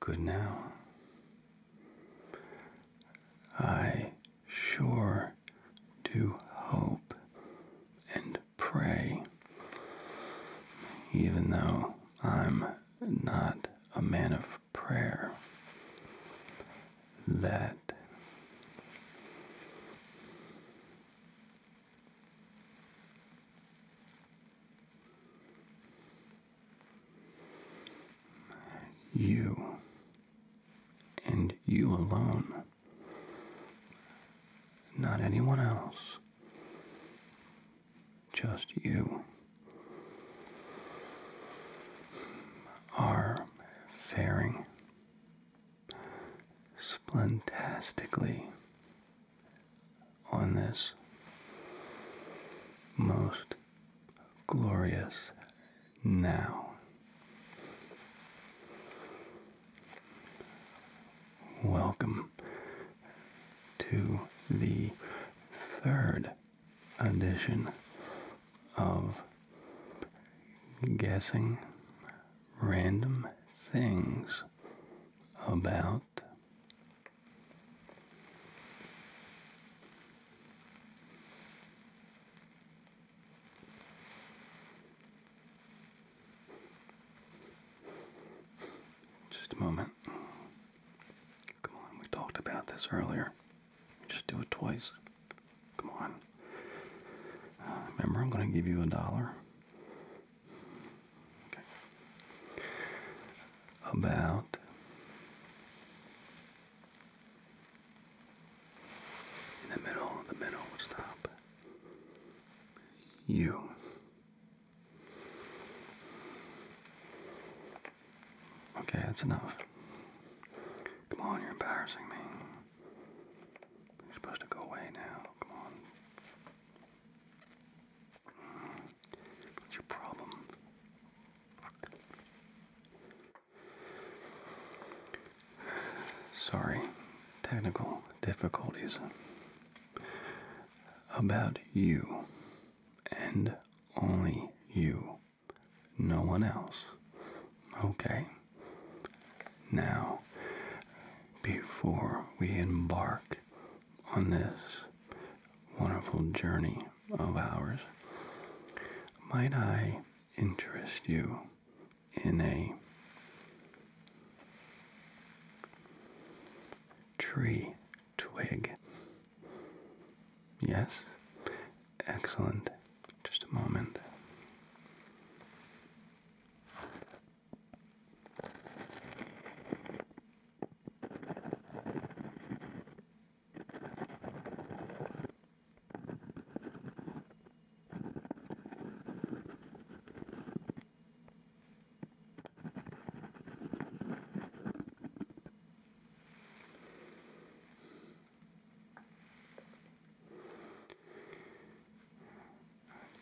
Good now. I sure do hope and pray, even though I'm not a man of prayer, that. You and you alone, not anyone else, just you, are faring splendastically on this most glorious now. Welcome to the third edition of Guessing Random Things About just a moment. Come on, we talked about this earlier. Just do it twice. Come on. Uh, remember, I'm going to give you a dollar. About in the middle, the middle stop. You. Okay, that's enough. Come on, you're embarrassing me. You're supposed to go away now. Come on. What's your problem? Sorry, technical difficulties about you and only you, no one else. Okay, now before we embark on this wonderful journey of ours. Might I interest you in a tree twig? Yes? Excellent. Just a moment.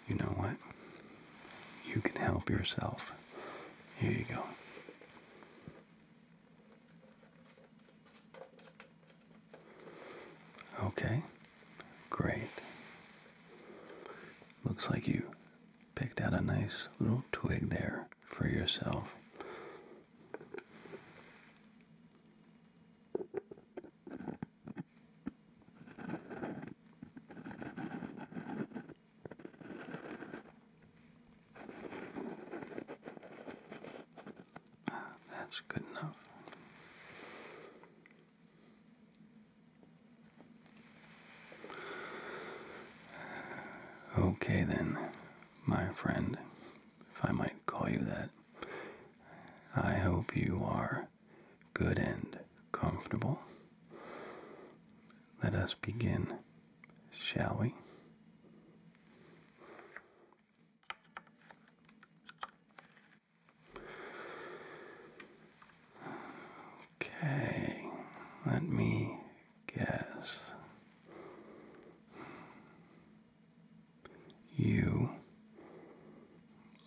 You know what? You can help yourself here you go. Okay, great. Looks like you picked out a nice little twig there for yourself that's good enough. Okay, then, my friend, if I might call you that, I hope you are good and comfortable, let us begin, shall we? Okay, let me guess. You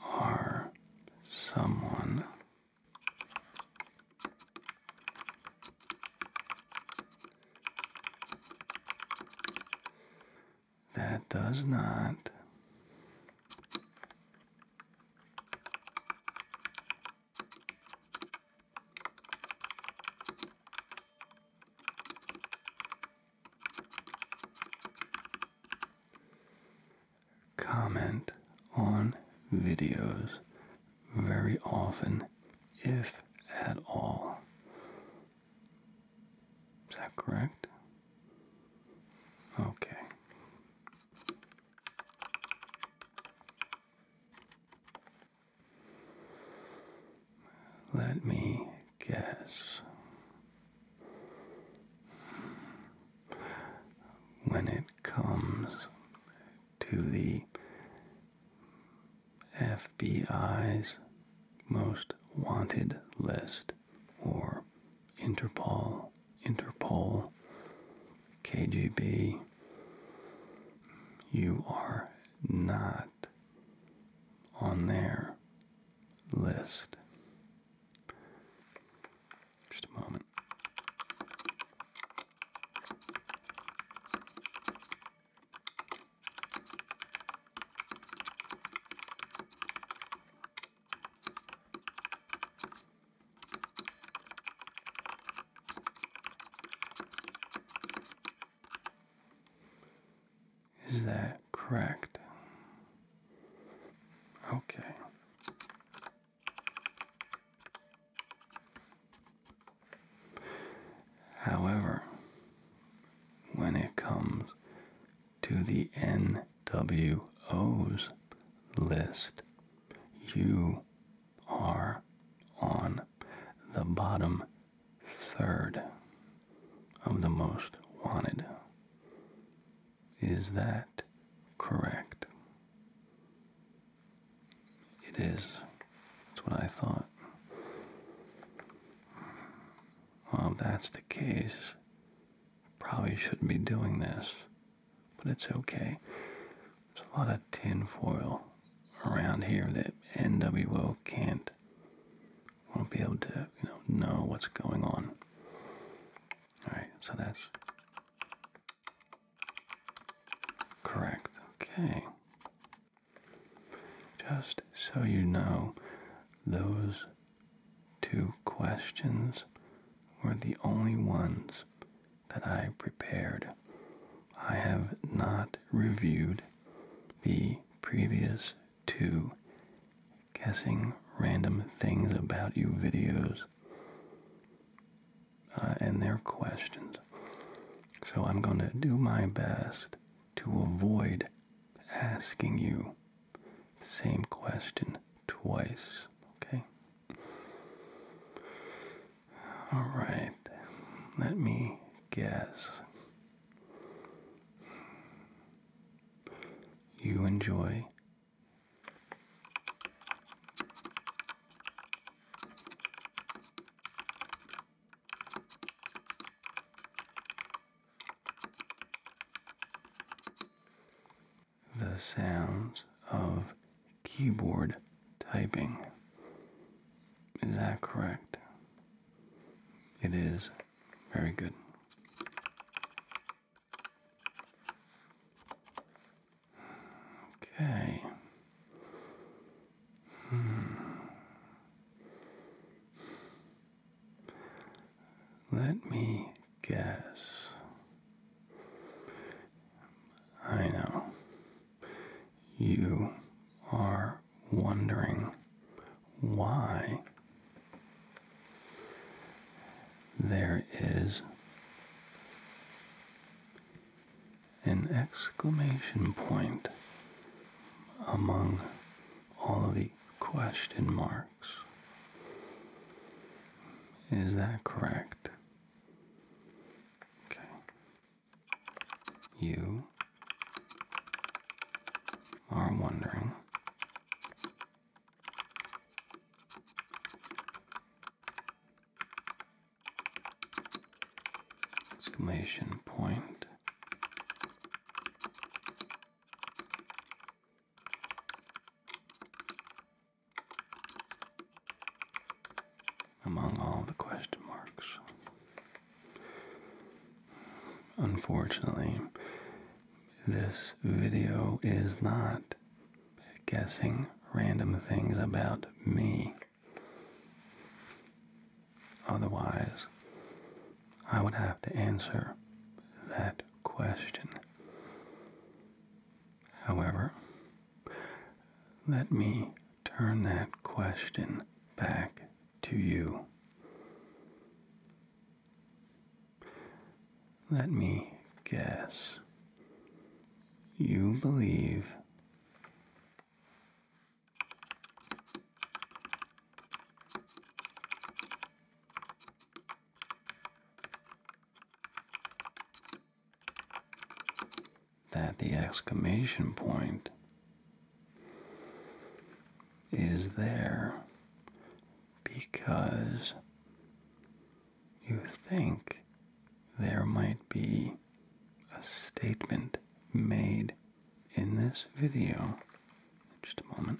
are someone that does not comment on videos very often, if at all. Is that correct? Okay. Let me guess. When it comes to the FBI's most wanted list or Interpol, Interpol, KGB. You are not on their list. Just a moment. Is that correct? Okay. However, when it comes to the NWO's list, you are on the bottom third of the most wanted. Is that correct? It is. That's what I thought. Well, if that's the case, probably shouldn't be doing this, but it's okay. There's a lot of tinfoil around here that NWO can't, won't be able to, you know, know what's going on. All right, so that's Correct. Okay. Just so you know, those two questions were the only ones that I prepared. I have not reviewed the previous two guessing random things about you videos. Uh, and their questions. So I'm going to do my best to avoid asking you the same question twice, okay? All right, let me guess. You enjoy the sounds of keyboard typing. Is that correct? It is very good. Okay. Hmm. Let me guess. I know. You are wondering why there is an exclamation point among all of the question marks. Is that correct? Okay. You are wondering exclamation point. Among all the question marks. Unfortunately, this video is not guessing random things about me. Otherwise, I would have to answer that question. However, let me turn that question back to you. Let me guess you believe. That the exclamation point is there because you think there might be a statement made in this video. Just a moment.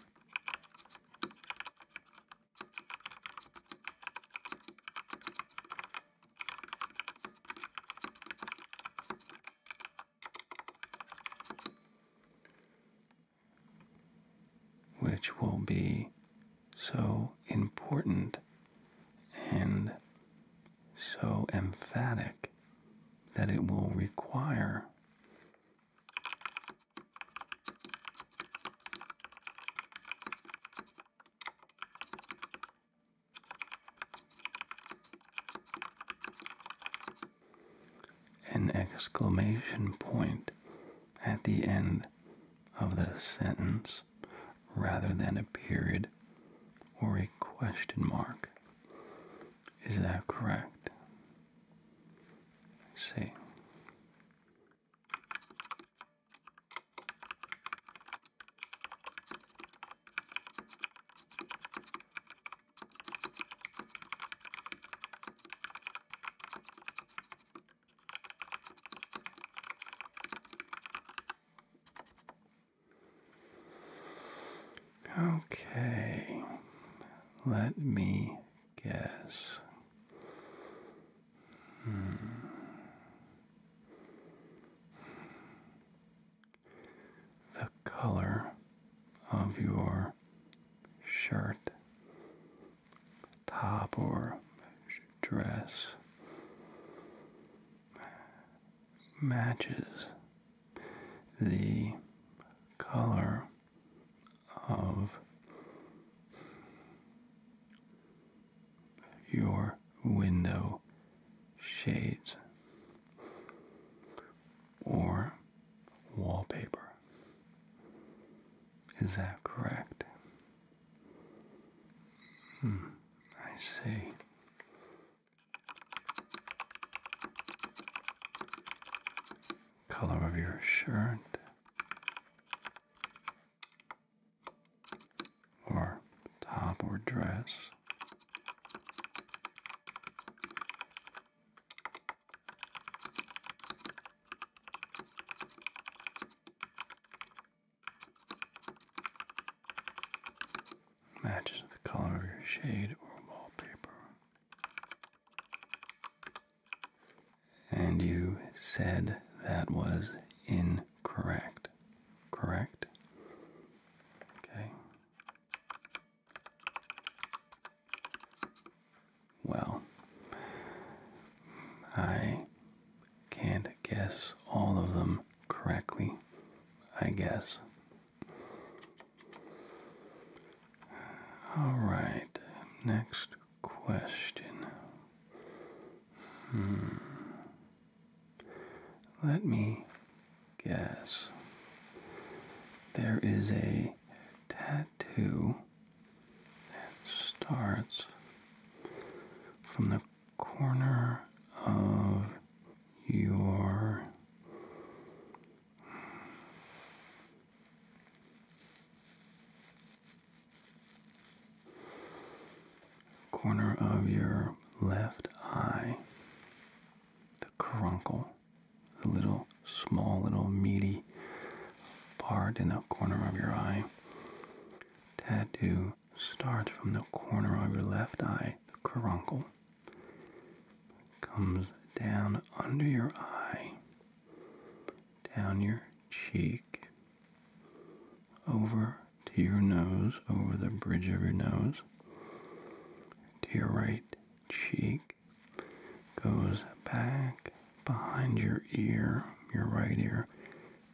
Which will be so important and so emphatic that it will require an exclamation point at the end of the sentence rather than a period or a question mark. Is that correct? let Okay, let me guess. Hmm. The color of your shirt, top or dress matches the color of your window shades or wallpaper. Is that correct? Hmm, I see. Color of your shirt. Or top or dress. Matches the color of your shade or wallpaper. And you said that was incorrect, correct? Okay. Well, I can't guess all of them correctly, I guess. All right, next question. Hmm. Let me guess. There is a tattoo that starts from the corner of your corner of your left eye, the caruncle, the little small, little meaty part in the corner of your eye, tattoo Start from the corner of your left eye, the caruncle, comes down under your eye, down your cheek, over to your nose, over the bridge of your nose, to your right cheek, goes back behind your ear, your right ear,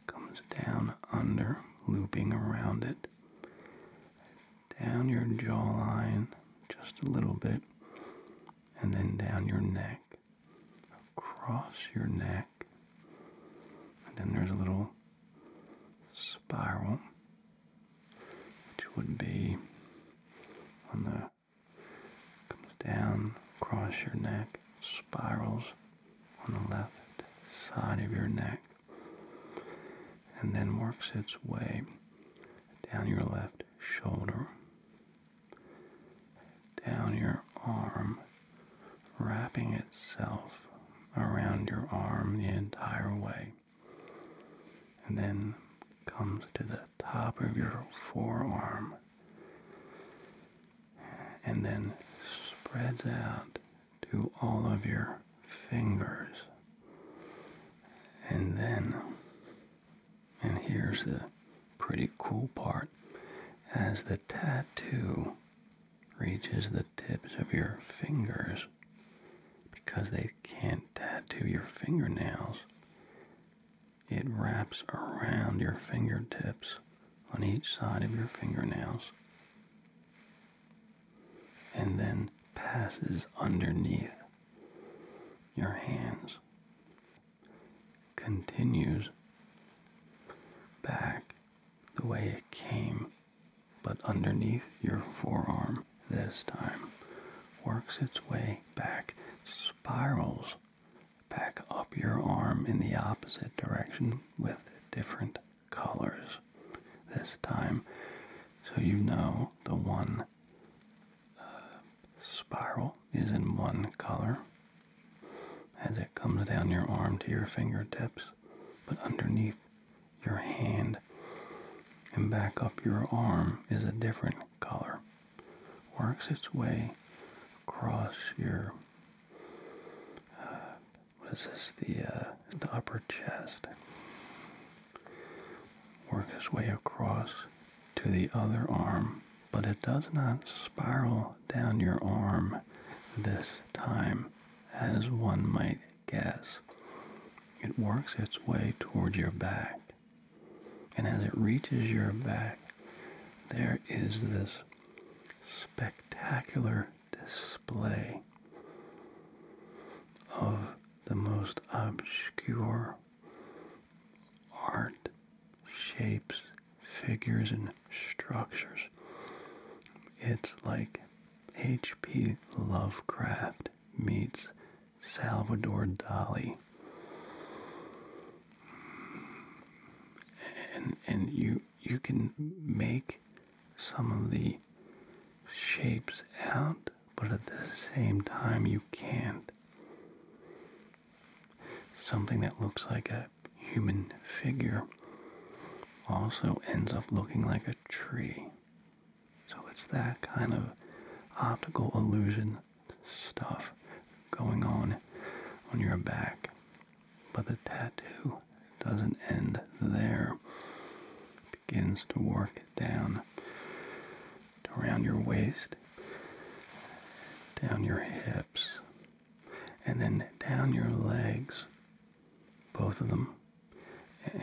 comes down under, looping around it, down your jawline just a little bit, and then down your neck, across your neck, and then there's a little spiral, which would be on the comes down across your neck, spirals on the left side of your neck and then works its way down your left shoulder, down your arm, wrapping itself around your arm the entire way, and then comes to the top of your forearm and then spreads out to all of your fingers. And then, and here's the pretty cool part, as the tattoo reaches the tips of your fingers, because they can't tattoo your fingernails, it wraps around your fingertips on each side of your fingernails and then passes underneath your hands, continues back the way it came, but underneath your forearm this time, works its way back, spirals back up your arm in the opposite direction with different colors this time so you know the one uh, spiral is in one color as it comes down your arm to your fingertips but underneath your hand and back up your arm is a different color works its way across your uh, what is this? The uh, the upper chest. Work its way across to the other arm, but it does not spiral down your arm this time, as one might guess. It works its way toward your back, and as it reaches your back, there is this spectacular display of the most obscure art, shapes, figures, and structures. It's like H.P. Lovecraft meets Salvador Dali. And, and you you can make some of the shapes out, but at the same time, you can't. Something that looks like a human figure also ends up looking like a tree. So it's that kind of optical illusion stuff going on on your back. But the tattoo doesn't end there. It begins to work it down around your waist, down your hips, and then down your legs, both of them,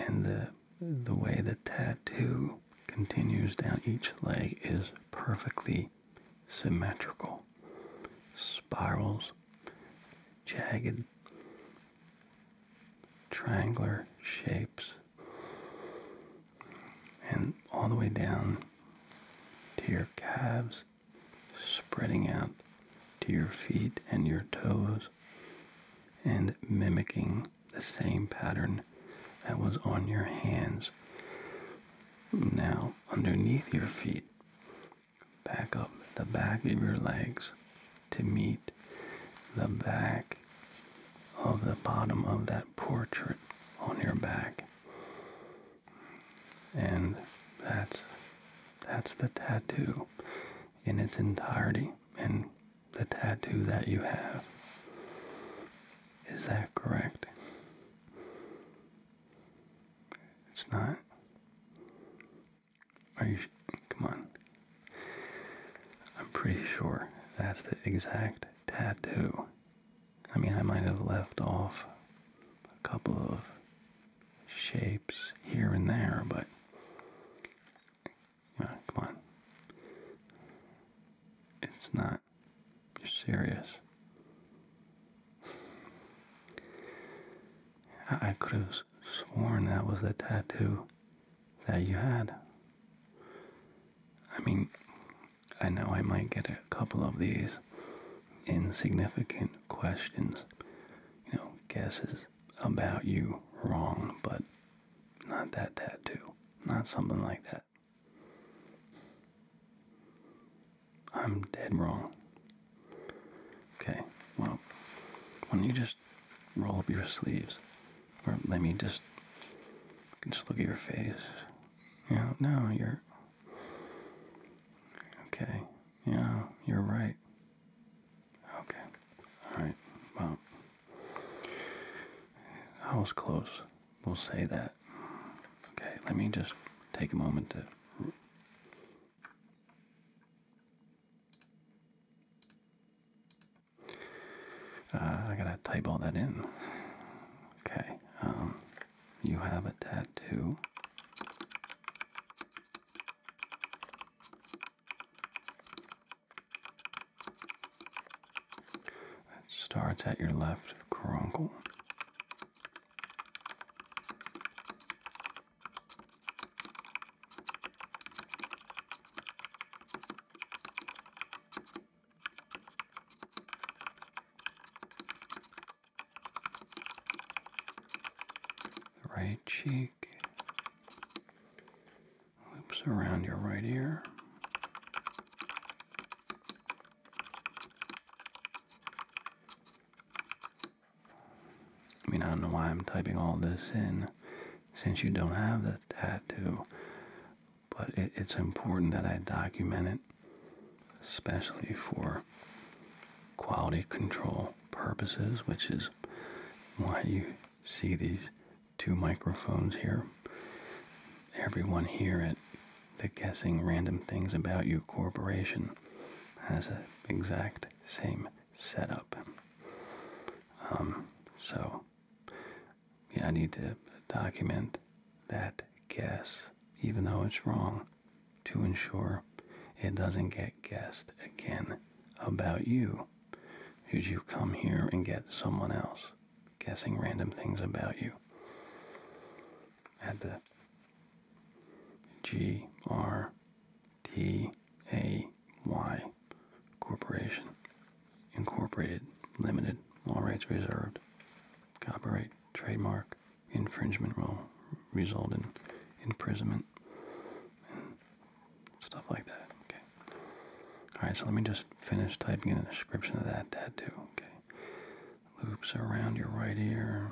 and the the way the tattoo continues down each leg is perfectly symmetrical spirals, jagged, triangular shapes, and all the way down to your calves, spreading out to your feet and your toes, and mimicking the same pattern that was on your hands. Now, underneath your feet, back up the back of your legs to meet the back of the bottom of that portrait on your back. And that's that's the tattoo in its entirety and the tattoo that you have. Is that correct? It's not. Are you? Come on. I'm pretty sure that's the exact tattoo. I mean, I might have left off a couple of shapes here and there, but. Come on. It's not. You're serious. I, could have sworn that was the tattoo that you had. I mean, I know I might get a couple of these insignificant questions, you know, guesses about you wrong, but not that tattoo, not something like that. I'm dead wrong. Okay, well, why don't you just roll up your sleeves? Or let me just, just look at your face. Yeah, no, you're, okay, yeah, you're right. Okay, all right, well, I was close. We'll say that. Okay, let me just take a moment to uh, I gotta type all that in. Okay, um, you have a tattoo. That starts at your left coronal Right cheek loops around your right ear. I mean, I don't know why I'm typing all this in since you don't have the tattoo, but it's important that I document it, especially for quality control purposes, which is why you see these two microphones here. Everyone here at the Guessing Random Things About You Corporation has an exact same setup. Um, so yeah, I need to document that guess, even though it's wrong, to ensure it doesn't get guessed again about you. Should you come here and get someone else guessing random things about you? had the G R T A Y Corporation Incorporated Limited. All rights reserved. Copyright, trademark, infringement will result in imprisonment and stuff like that. Okay. Alright, so let me just finish typing in the description of that tattoo. Okay. Loops around your right ear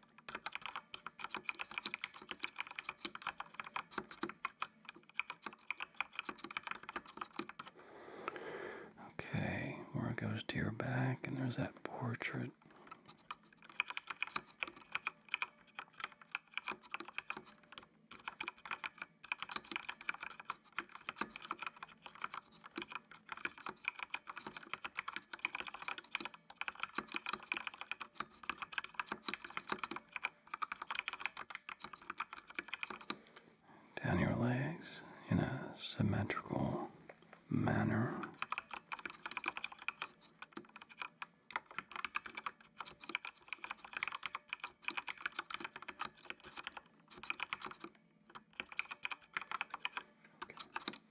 Okay, where it goes to your back, and there's that portrait down your legs in a symmetrical manner.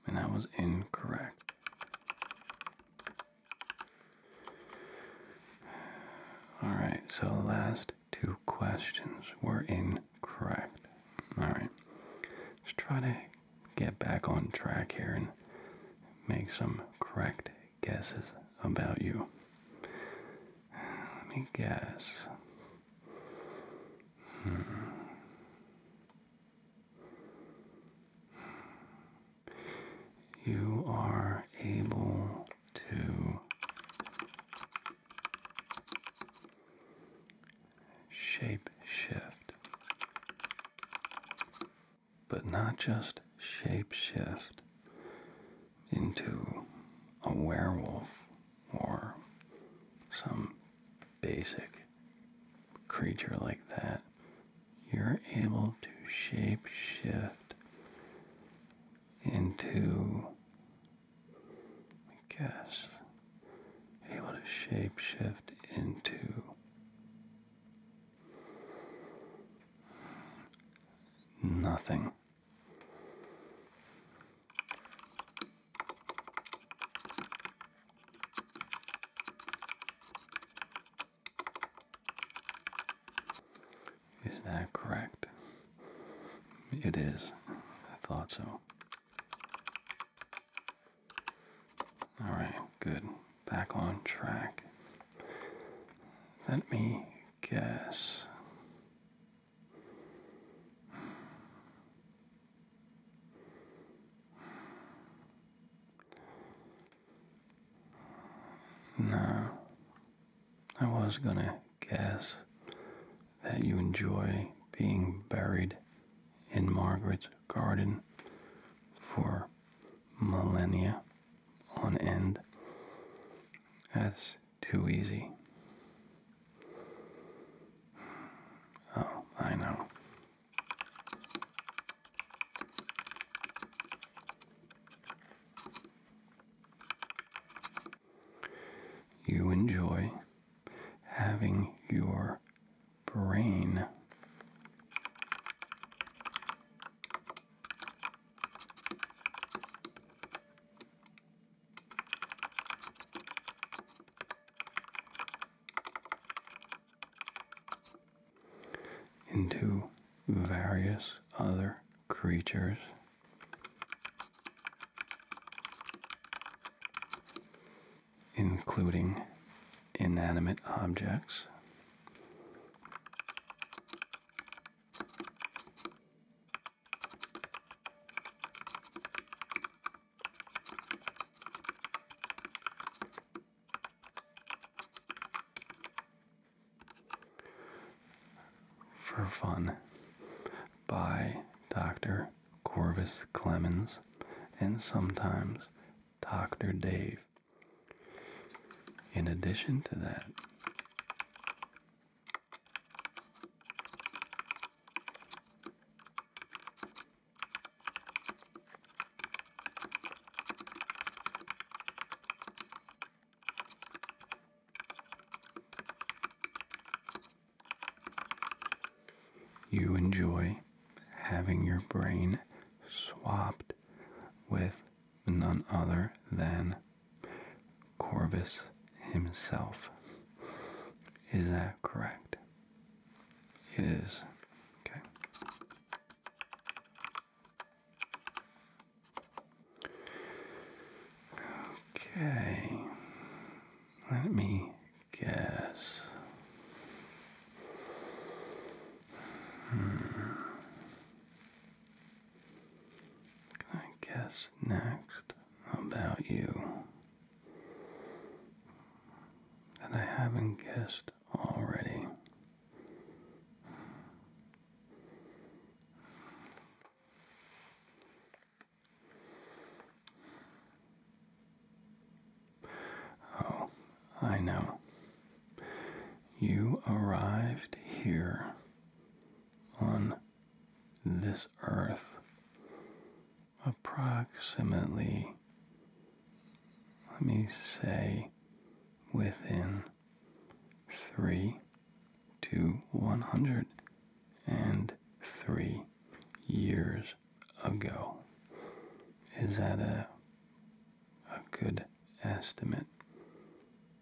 And that was incorrect. Alright, so the last two questions were incorrect. Alright, let's try to get back on track here and make some correct guesses about you. Let me guess. Hmm. You are able to shape shift, but not just shape shift into a werewolf or some basic creature like that, you're able to shape shift into, I guess, able to shape shift into nothing. Is that correct? It is. I thought so. Alright, good. Back on track. Let me guess. No, I was gonna guess that you enjoy being buried in Margaret's garden for millennia on end. That's too easy. Oh, I know. You enjoy having your brain into various other creatures. Including inanimate objects, for Fun by Dr. Corvis Clemens and sometimes Dr. Dave. In addition to that, you enjoy having your brain swapped with none other than Corvus himself. Is that correct? It is. Okay. Okay. Let me guess. Hmm. Can I guess next about you that I haven't guessed finished already. Oh, I know. You arrived here on this earth approximately, let me say, within 3 to 103 years ago. Is that a, a good estimate?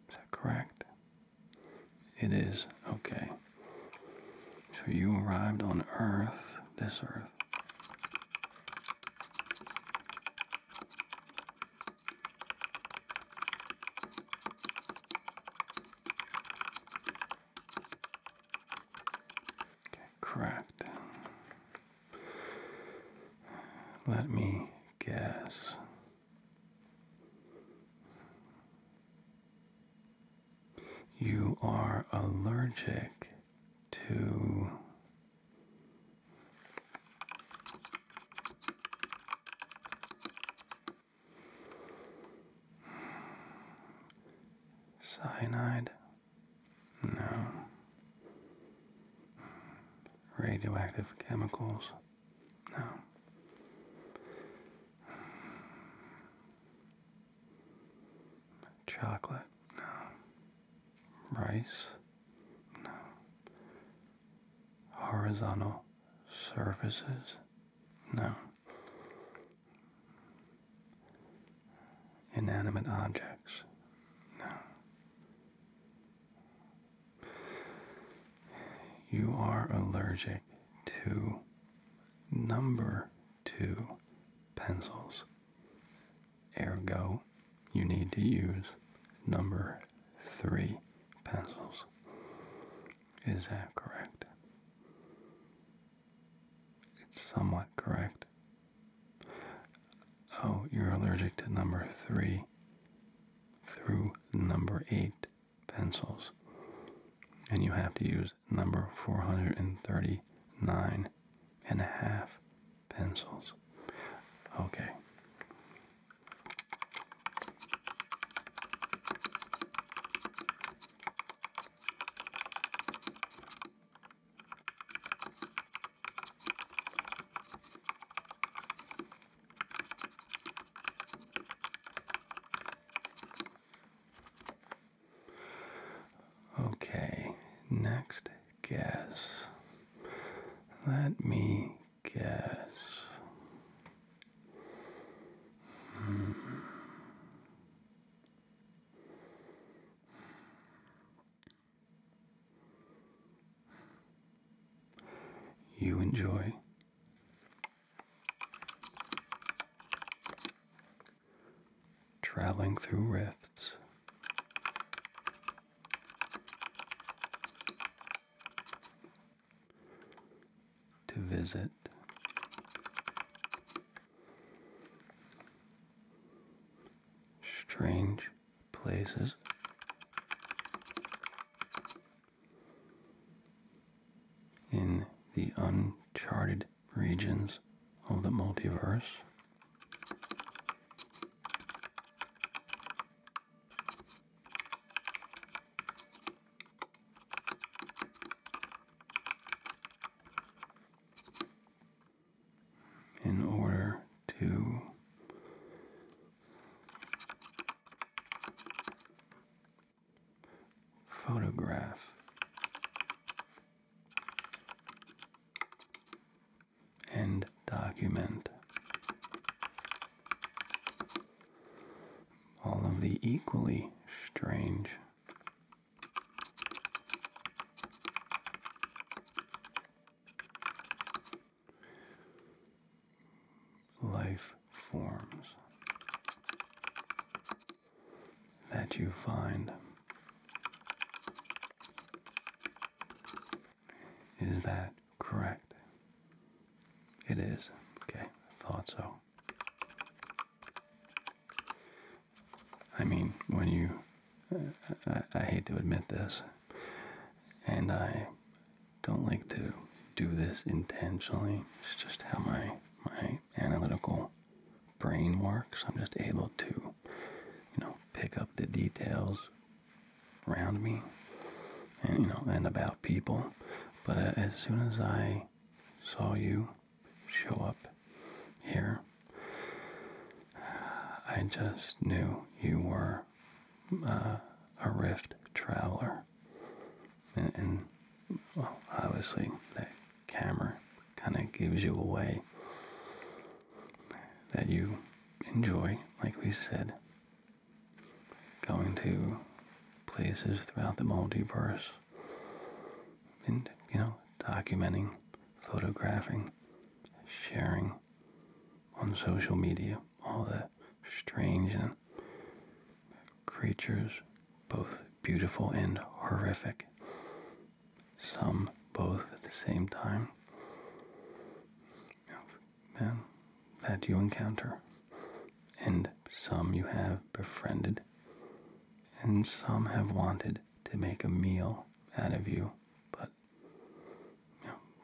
Is that correct? It is. Okay. So you arrived on Earth, this Earth, yeah. correct. Let me guess. You are allergic to cyanide? No. Radioactive chemicals? No. Chocolate? No. Rice? No. Horizontal surfaces? No. Inanimate objects? No. You are allergic to number two pencils. Ergo, you need to use number three pencils. Is that correct? It's somewhat correct. Oh, you're allergic to number three through number eight pencils. And you have to use number 439 pencils. Okay. Okay, next guess. Let me guess. Hmm. You enjoy traveling through rifts. To visit strange places, in the uncharted regions of the multiverse. In order to photograph End document all of the equally strange life forms that you find is that correct? It is. Okay, I thought so. I mean, when you, I, I hate to admit this, and I don't like to do this intentionally. It's just how my my analytical brain works. I'm just able to you know, pick up the details around me and, you know, and about people. But uh, as soon as I saw you show up here, I just knew you were uh, a rift traveler. And, and well, obviously, that camera kind of gives you away that you enjoy, like we said, going to places throughout the multiverse and, you know, documenting, photographing, sharing on social media all the strange and creatures, both beautiful and horrific, some both at the same time yeah, that you encounter, and some you have befriended, and some have wanted to make a meal out of you, but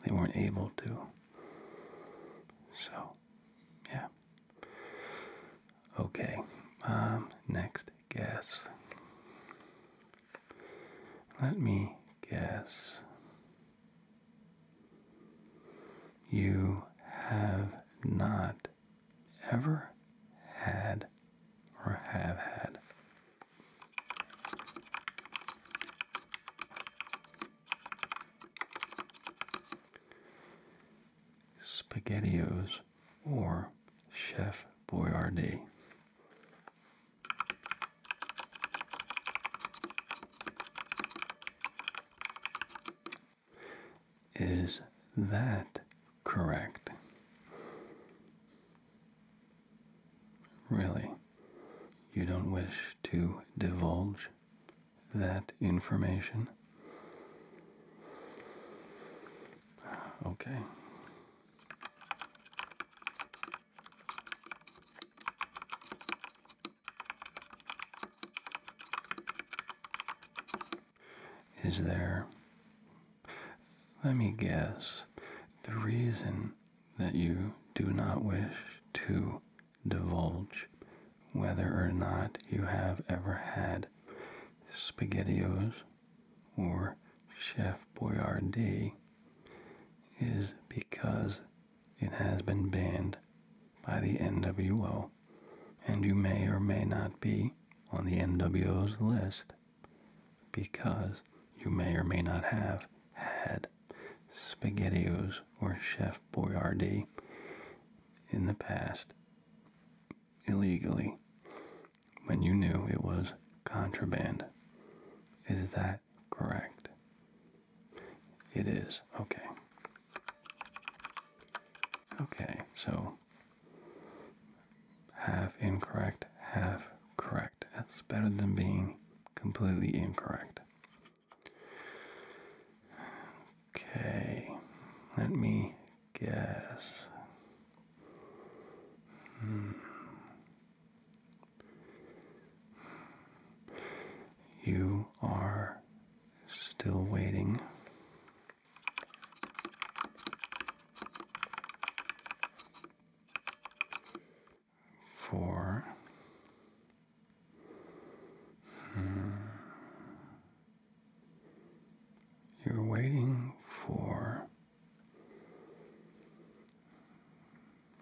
they weren't able to. So, yeah. Okay, um, next guess. Let me guess. You have not ever had or have had. SpaghettiOs or Chef Boyardee. Is that correct? Really? You don't wish to divulge that information? Okay. Is there, let me guess, the reason that you do not wish to divulge whether or not you have ever had SpaghettiOs or Chef Boyardee is because it has been banned by the NWO, and you may or may not be on the NWO's list because you may or may not have had SpaghettiOs or Chef Boyardee in the past illegally when you knew it was contraband. Is that correct? It is. Okay. Okay, so half incorrect, half correct. That's better than being completely incorrect. Okay, let me guess. Hmm. You are still waiting. For hmm, you're waiting for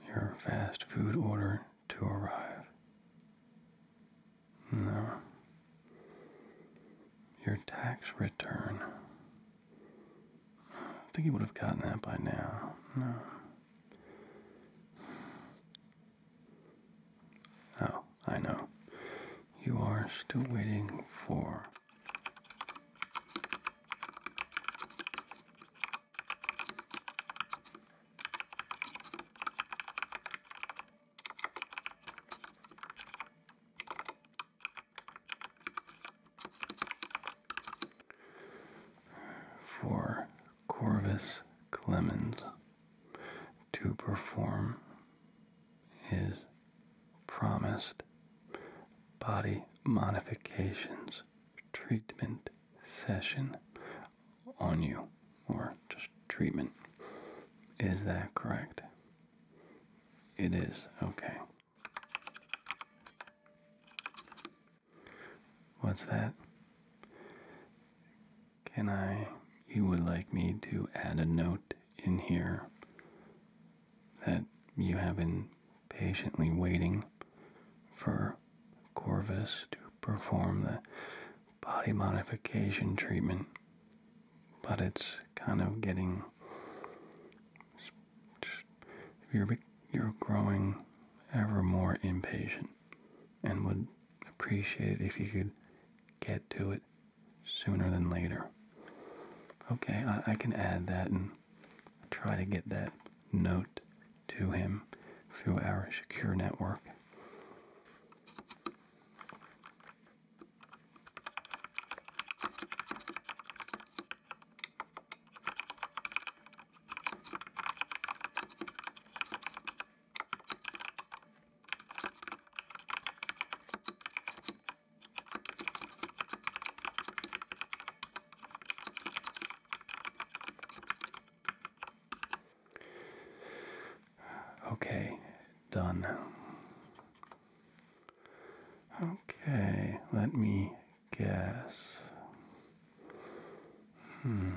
your fast food order to arrive. No. Your tax return. I think you would have gotten that by now. No. Oh, I know. You are still waiting for for Corvus Clemens to perform his promised body modifications treatment session on you, or just treatment. Is that correct? It is, okay. What's that? Can I, you would like me to add a note in here that you have been patiently waiting for Corvus to perform the body modification treatment, but it's kind of getting. You're you're growing ever more impatient, and would appreciate if you could get to it sooner than later. Okay, I, I can add that and try to get that note to him through our secure network. Okay, done. Okay, let me guess. Hmm.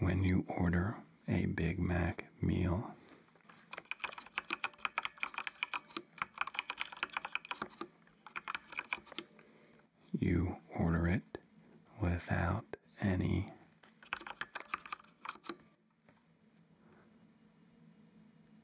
When you order a Big Mac meal, you order it without any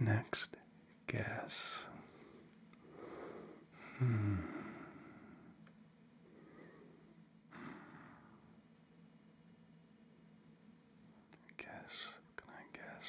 Next guess. Hmm. Guess, can I guess?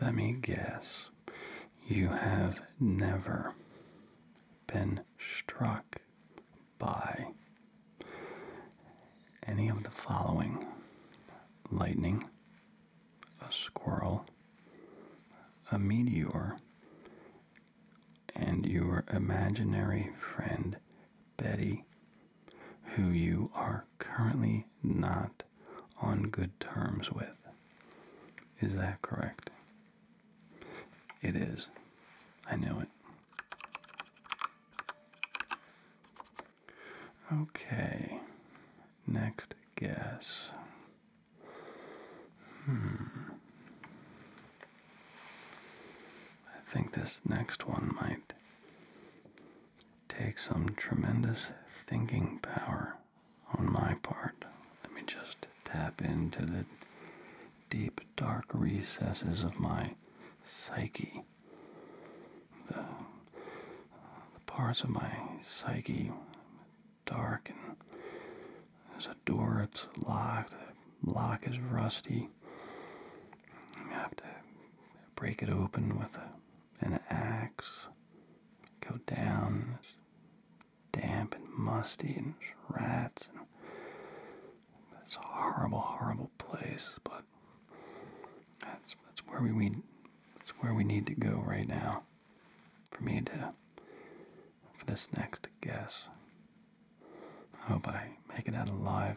Let me guess, you have never been struck by any of the following lightning, a squirrel, a meteor, and your imaginary friend Betty, who you are currently not on good terms with. Is that correct? It is. I know it. Okay, next guess. Hmm. I think this next one might take some tremendous thinking power on my part. Let me just tap into the deep, dark recesses of my psyche. The, parts of my psyche dark and door it's locked. The lock is rusty. You have to break it open with an axe. Go down. It's damp and musty and rats. And it's a horrible, horrible place. But that's that's where we need that's where we need to go right now. For me to for this next guess. I hope I make it out alive.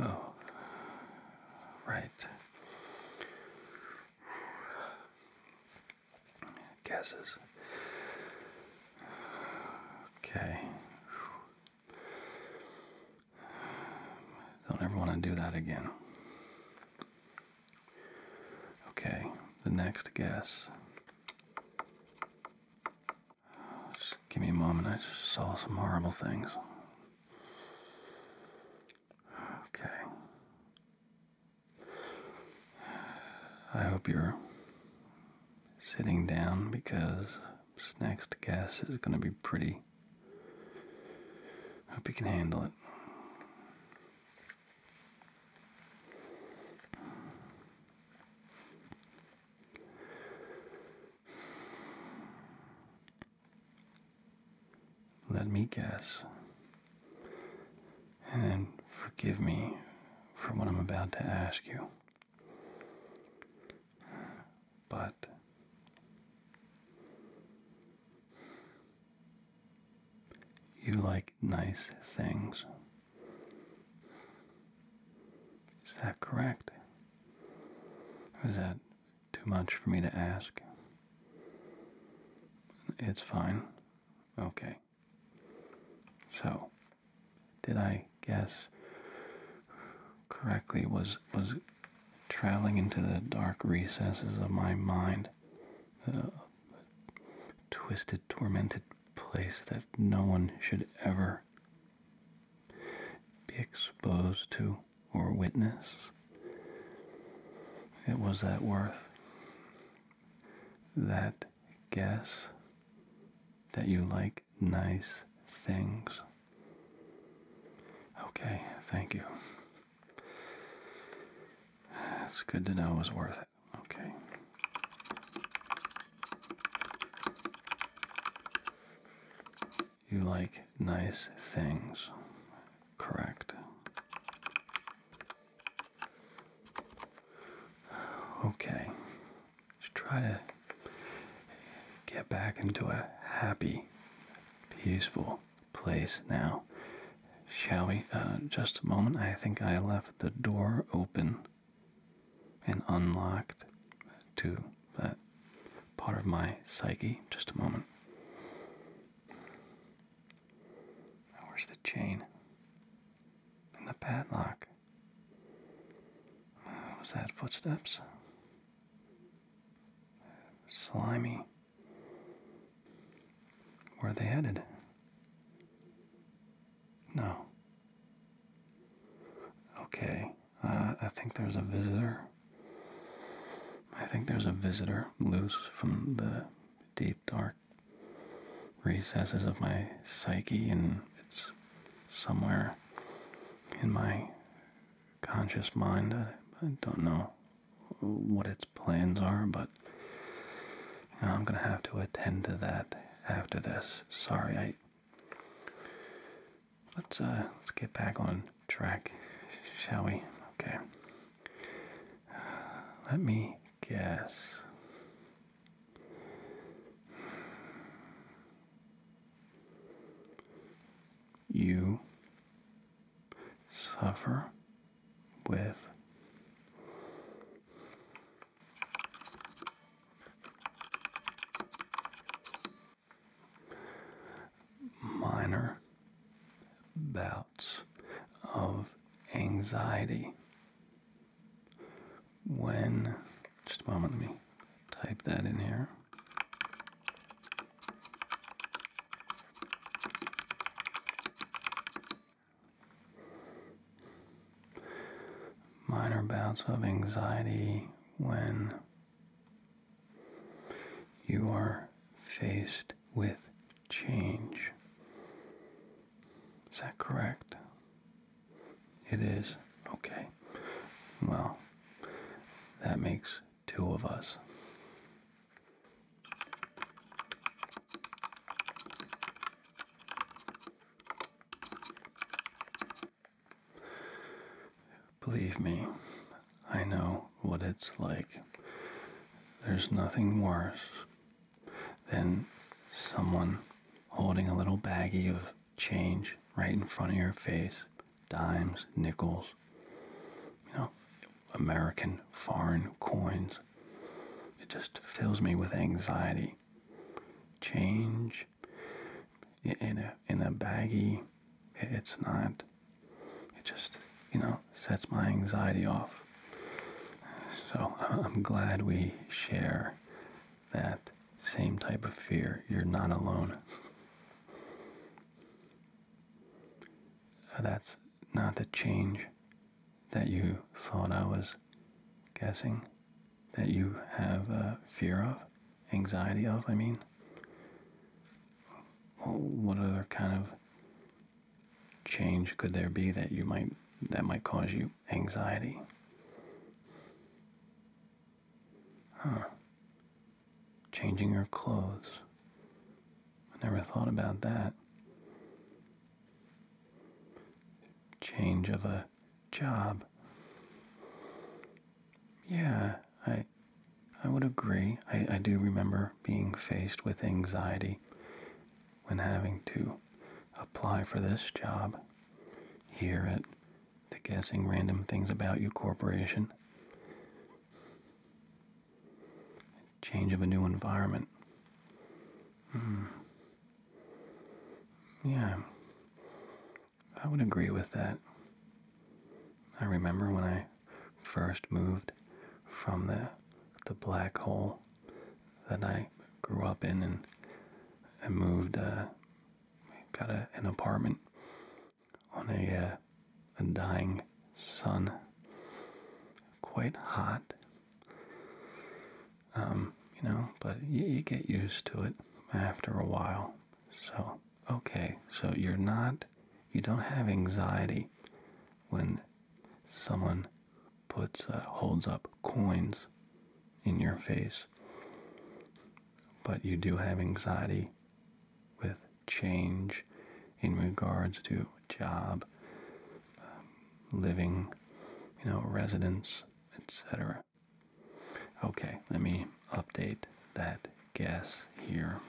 Oh, right. Gases. Okay. Don't ever want to do that again. Okay, the next guess. give me a moment. I saw some horrible things. Okay. I hope you're sitting down because this next guess is going to be pretty. Hope you can handle it. Let me guess, and forgive me for what I'm about to ask you. But you like nice things. Is that correct? Or is that too much for me to ask? It's fine. Okay. So, did I guess correctly? Was was traveling into the dark recesses of my mind, uh, a twisted, tormented place that no one should ever be exposed to or witness. It was that worth, that guess that you like nice things. Okay, thank you. It's good to know it was worth it. Okay. You like nice things, correct? Okay. Just try to get back into a happy, peaceful place now. Shall we? Uh, just a moment. I think I left the door open and unlocked to that part of my psyche. Just a moment. Where's the chain? And the padlock. Uh, was that footsteps? Slimy where are they headed? No. Okay, uh, I think there's a visitor. I think there's a visitor loose from the deep, dark recesses of my psyche, and it's somewhere in my conscious mind. I don't know what its plans are, but I'm gonna have to attend to that after this. Sorry, I. Let's uh, let's get back on track, shall we? Okay. let me guess. You suffer with. Minor bouts of anxiety when, just a moment, let me type that in here minor bouts of anxiety when you are faced with change. Is that correct? It is. Okay. Well, that makes two of us. Believe me, I know what it's like. There's nothing worse than someone holding a little baggie of change right in front of your face dimes, nickels. You know, American foreign coins. It just fills me with anxiety. Change in a in a baggie, it's not. It just you know sets my anxiety off. So I'm glad we share that same type of fear. You're not alone. That's not the change that you thought I was guessing, that you have a fear of, anxiety of, I mean? what other kind of change could there be that you might that might cause you anxiety? Huh. Changing your clothes. I never thought about that change of a job. Yeah, I I would agree. I, I do remember being faced with anxiety when having to apply for this job here at the Guessing Random Things About You Corporation change of a new environment. Hmm. Yeah, I would agree with that. I remember when I first moved from the the black hole that I grew up in, and I moved, uh, got an apartment on a uh, a dying sun, quite hot um, you know, but you, get used to it after a while. So, okay, so you're not, you don't have anxiety when someone puts, uh, holds up coins in your face. But you do have anxiety with change in regards to job, um, living, you know, residence, etc. Okay, let me update that guess here.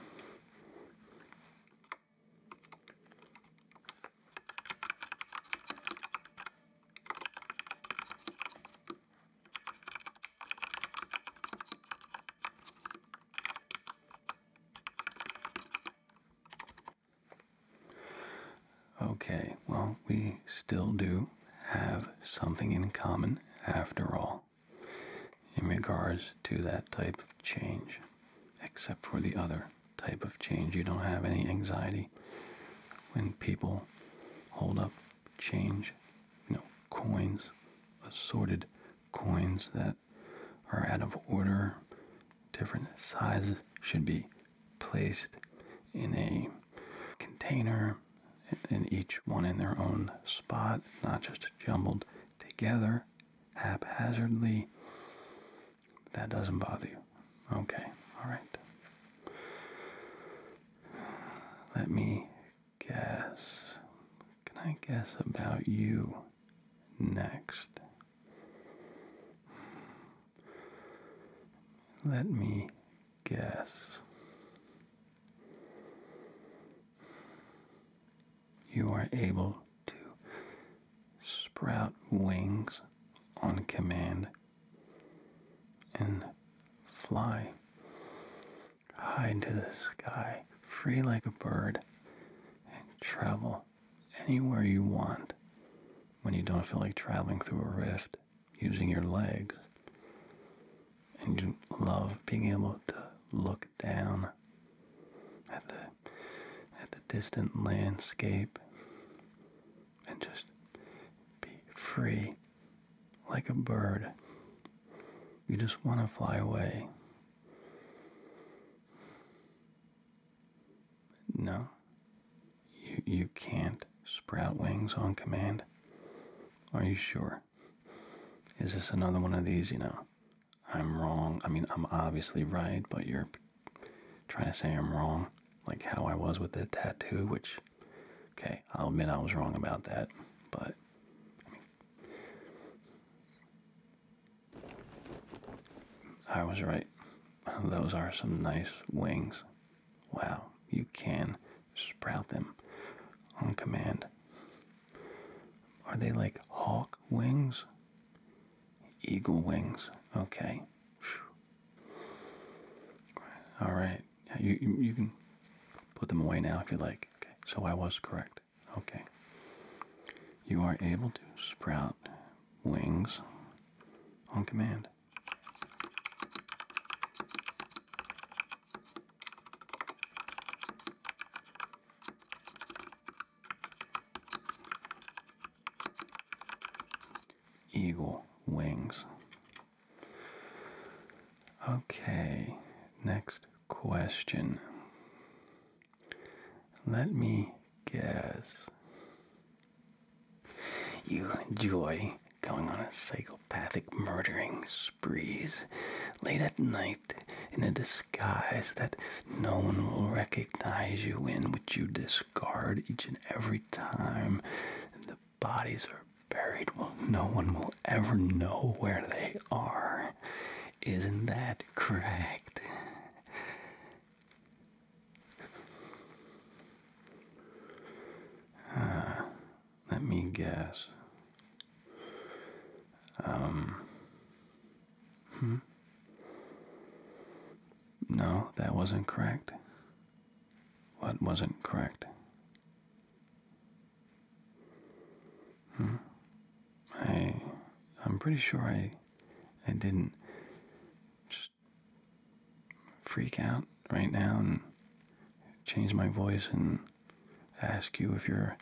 Okay, well, we still do have something in common after all in regards to that type of change, except for the other type of change. You don't have any anxiety when people hold up change, you know, coins, assorted coins that are out of order, different sizes should be placed in a container and each one in their own spot, not just jumbled together haphazardly. That doesn't bother you. Okay, all right. Let me guess. Can I guess about you next? Let me guess. You are able to sprout wings on command and fly high into the sky, free like a bird, and travel anywhere you want when you don't feel like traveling through a rift using your legs. And you love being able to look down at the at the distant landscape and just be free like a bird. You just want to fly away. No. You, you can't sprout wings on command? Are you sure? Is this another one of these, you know? I'm wrong. I mean, I'm obviously right, but you're trying to say I'm wrong. Like how I was with the tattoo, which, okay, I'll admit I was wrong about that, but. I was right. Those are some nice wings. Wow, you can sprout them on command. Are they like hawk wings? Eagle wings. Okay. All right. you, you, you can put them away now if you like. Okay. So I was correct. Okay. You are able to sprout wings on command. Eagle wings. Okay, next question. Let me guess. You enjoy going on a psychopathic murdering sprees late at night in a disguise that no one will recognize you in, which you discard each and every time. the bodies are buried. Well, no one will ever know where they are. Isn't that correct? Uh, let me guess. Um. Hmm. No, that wasn't correct. What wasn't correct? Hmm. I. I'm pretty sure I I didn't just freak out right now and change my voice and ask you if you're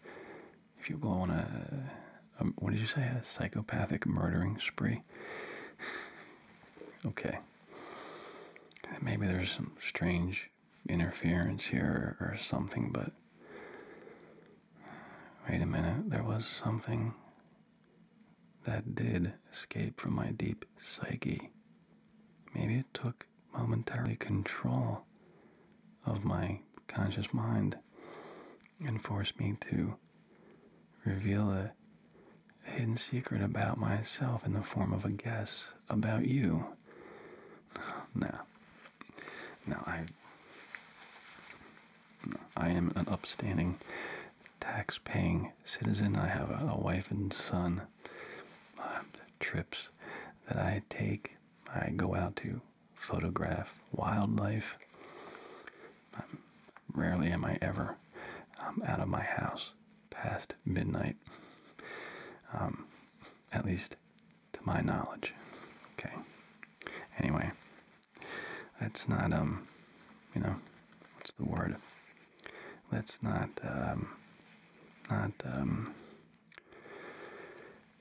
if you are going a, what did you say a psychopathic murdering spree. okay. Maybe there's some strange interference here or something, but wait a minute, there was something that did escape from my deep psyche. Maybe it took momentary control of my conscious mind and forced me to reveal a, a hidden secret about myself in the form of a guess about you. No. No, I I am an upstanding, tax-paying citizen. I have a, wife and son. Uh, trips that I take, I go out to photograph wildlife. Um, rarely am I ever um, out of my house past midnight, at least to my knowledge. Okay. Anyway, Let's not, um, you know, what's the word? Let's not, um, not, um,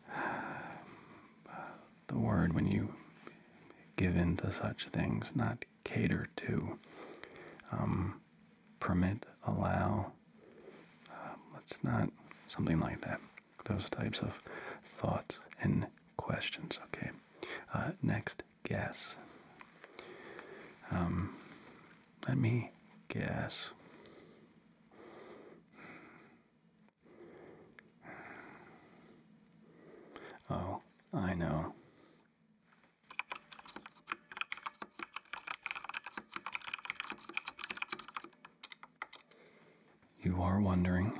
the word when you give in to such things, not cater to, um, permit, allow, uh, let's not, something like that. Those types of thoughts and questions. Okay. Uh, next, guess. Um, let me guess. Oh, I know you are wondering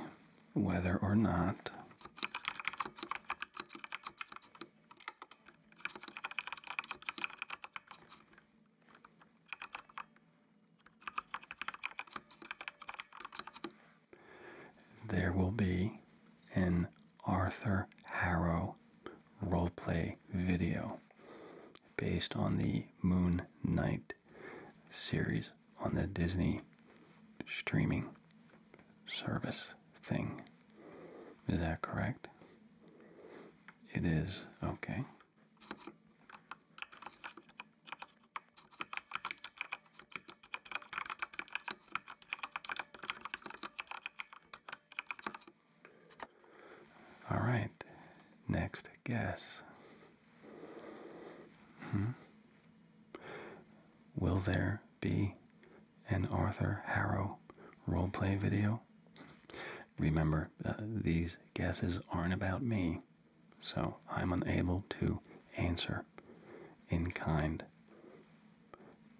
whether or not there will be an Arthur Harrow roleplay video based on the Moon Knight series on the Disney streaming service thing. Is that correct? It is. Okay. All right. Next guess. Hmm? Will there be an Arthur Harrow roleplay video? Remember, uh, these guesses aren't about me, so I'm unable to answer in kind.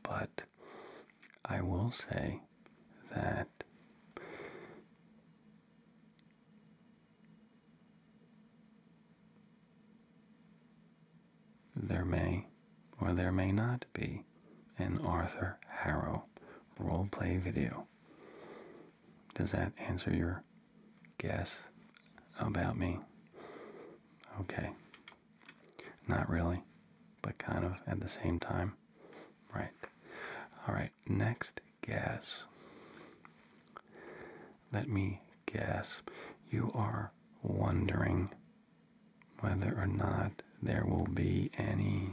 But I will say that there may or there may not be an Arthur Harrow roleplay video. Does that answer your guess about me? Okay. Not really, but kind of at the same time. Right. All right, next guess. Let me guess, you are wondering whether or not there will be any.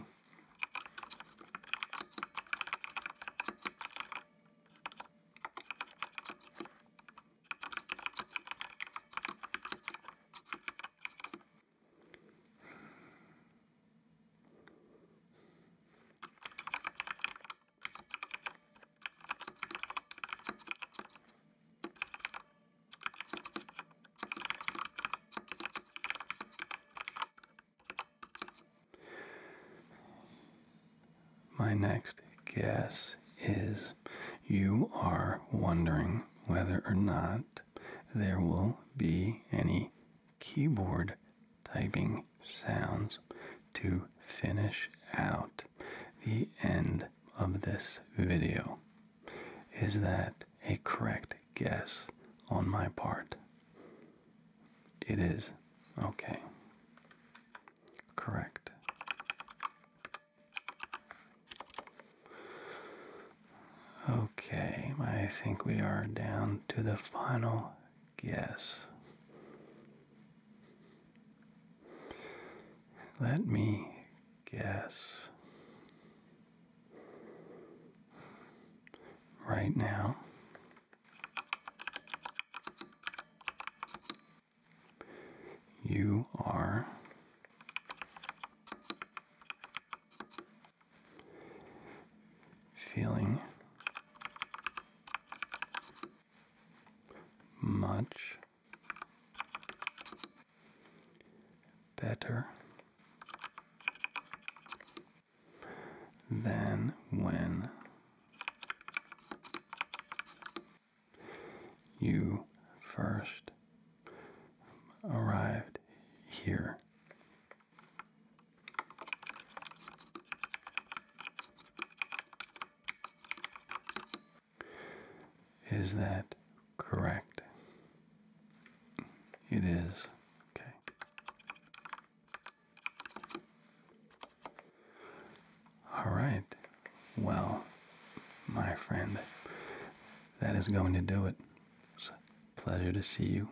My next guess is you are wondering whether or not there will be any keyboard typing sounds to finish out the end of this video. Is that a correct guess on my part? It is. Okay. Correct. Okay, I think we are down to the final guess. Let me guess. Right now, you are feeling much better than when you first arrived here. Is that correct? It is. Okay. All right. Well, my friend, that is going to do it. It's a pleasure to see you,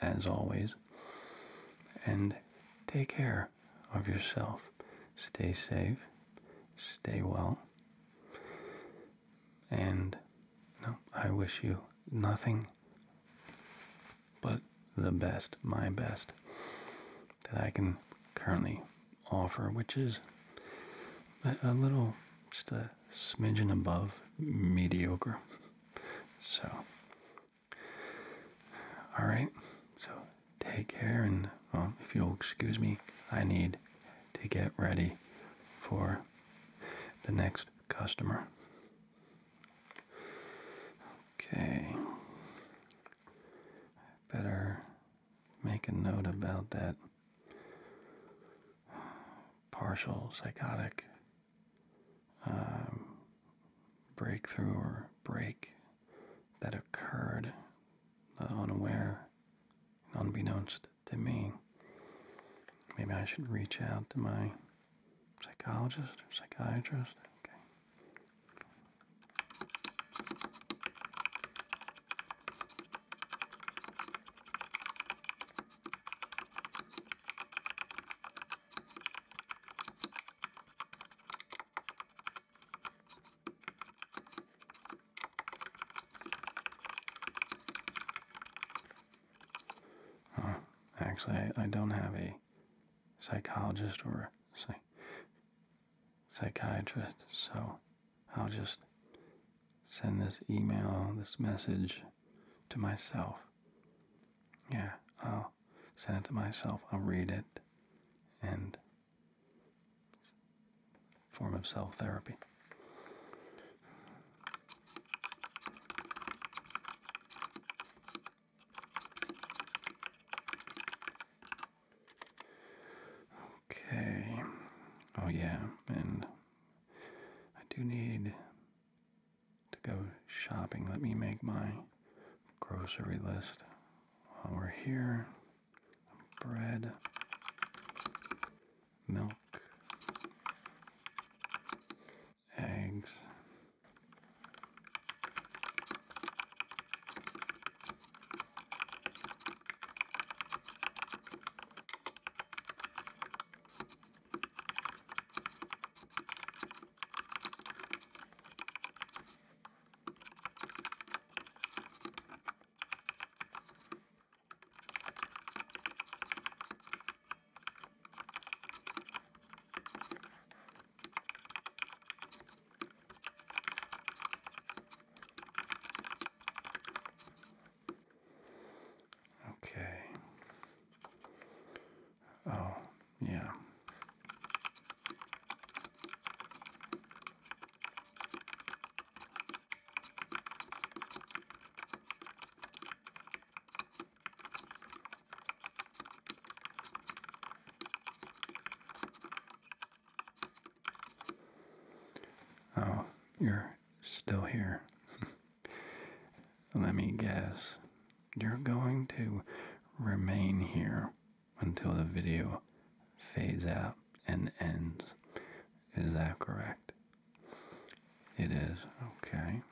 as always. And take care of yourself. Stay safe, stay well, and no, I wish you nothing but the best, my best, that I can currently offer, which is a, a little, just a smidgen above mediocre. So, all right, so take care, and well, if you'll excuse me, I need to get ready for the next customer. Okay. Better make a note about that partial psychotic um, breakthrough or break that occurred uh, unaware unbeknownst to me. Maybe I should reach out to my psychologist or psychiatrist. Actually, I, don't have a psychologist or psych psychiatrist, so I'll just send this email, this message to myself. Yeah, I'll send it to myself. I'll read it and form of self therapy. Okay. Oh, yeah, and I do need to go shopping. Let me make my grocery list while we're here. Bread, milk, eggs. Okay. Oh, yeah. Oh, you're still here. Let me guess. You're going to remain here until the video fades out and ends. Is that correct? It is. Okay.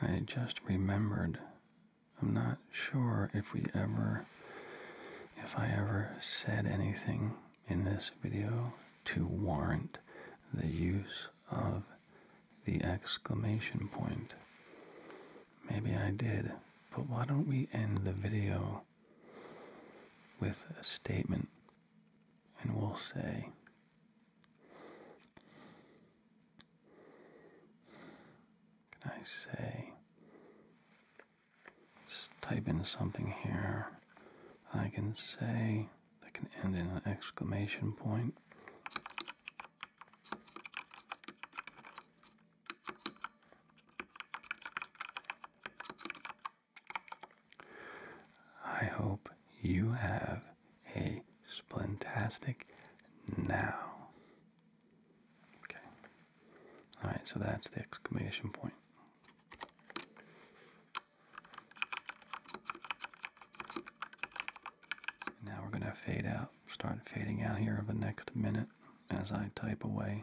I just remembered. I'm not sure if we ever, if I ever said anything in this video to warrant the use of the exclamation point. Maybe I did, but why don't we end the video with a statement and we'll say, can I say, let's type in something here. I can say, that can end in an exclamation point. I hope you have a splintastic now. Okay. Alright, so that's the exclamation point. Now we're going to fade out, start fading out here of the next minute as I type away.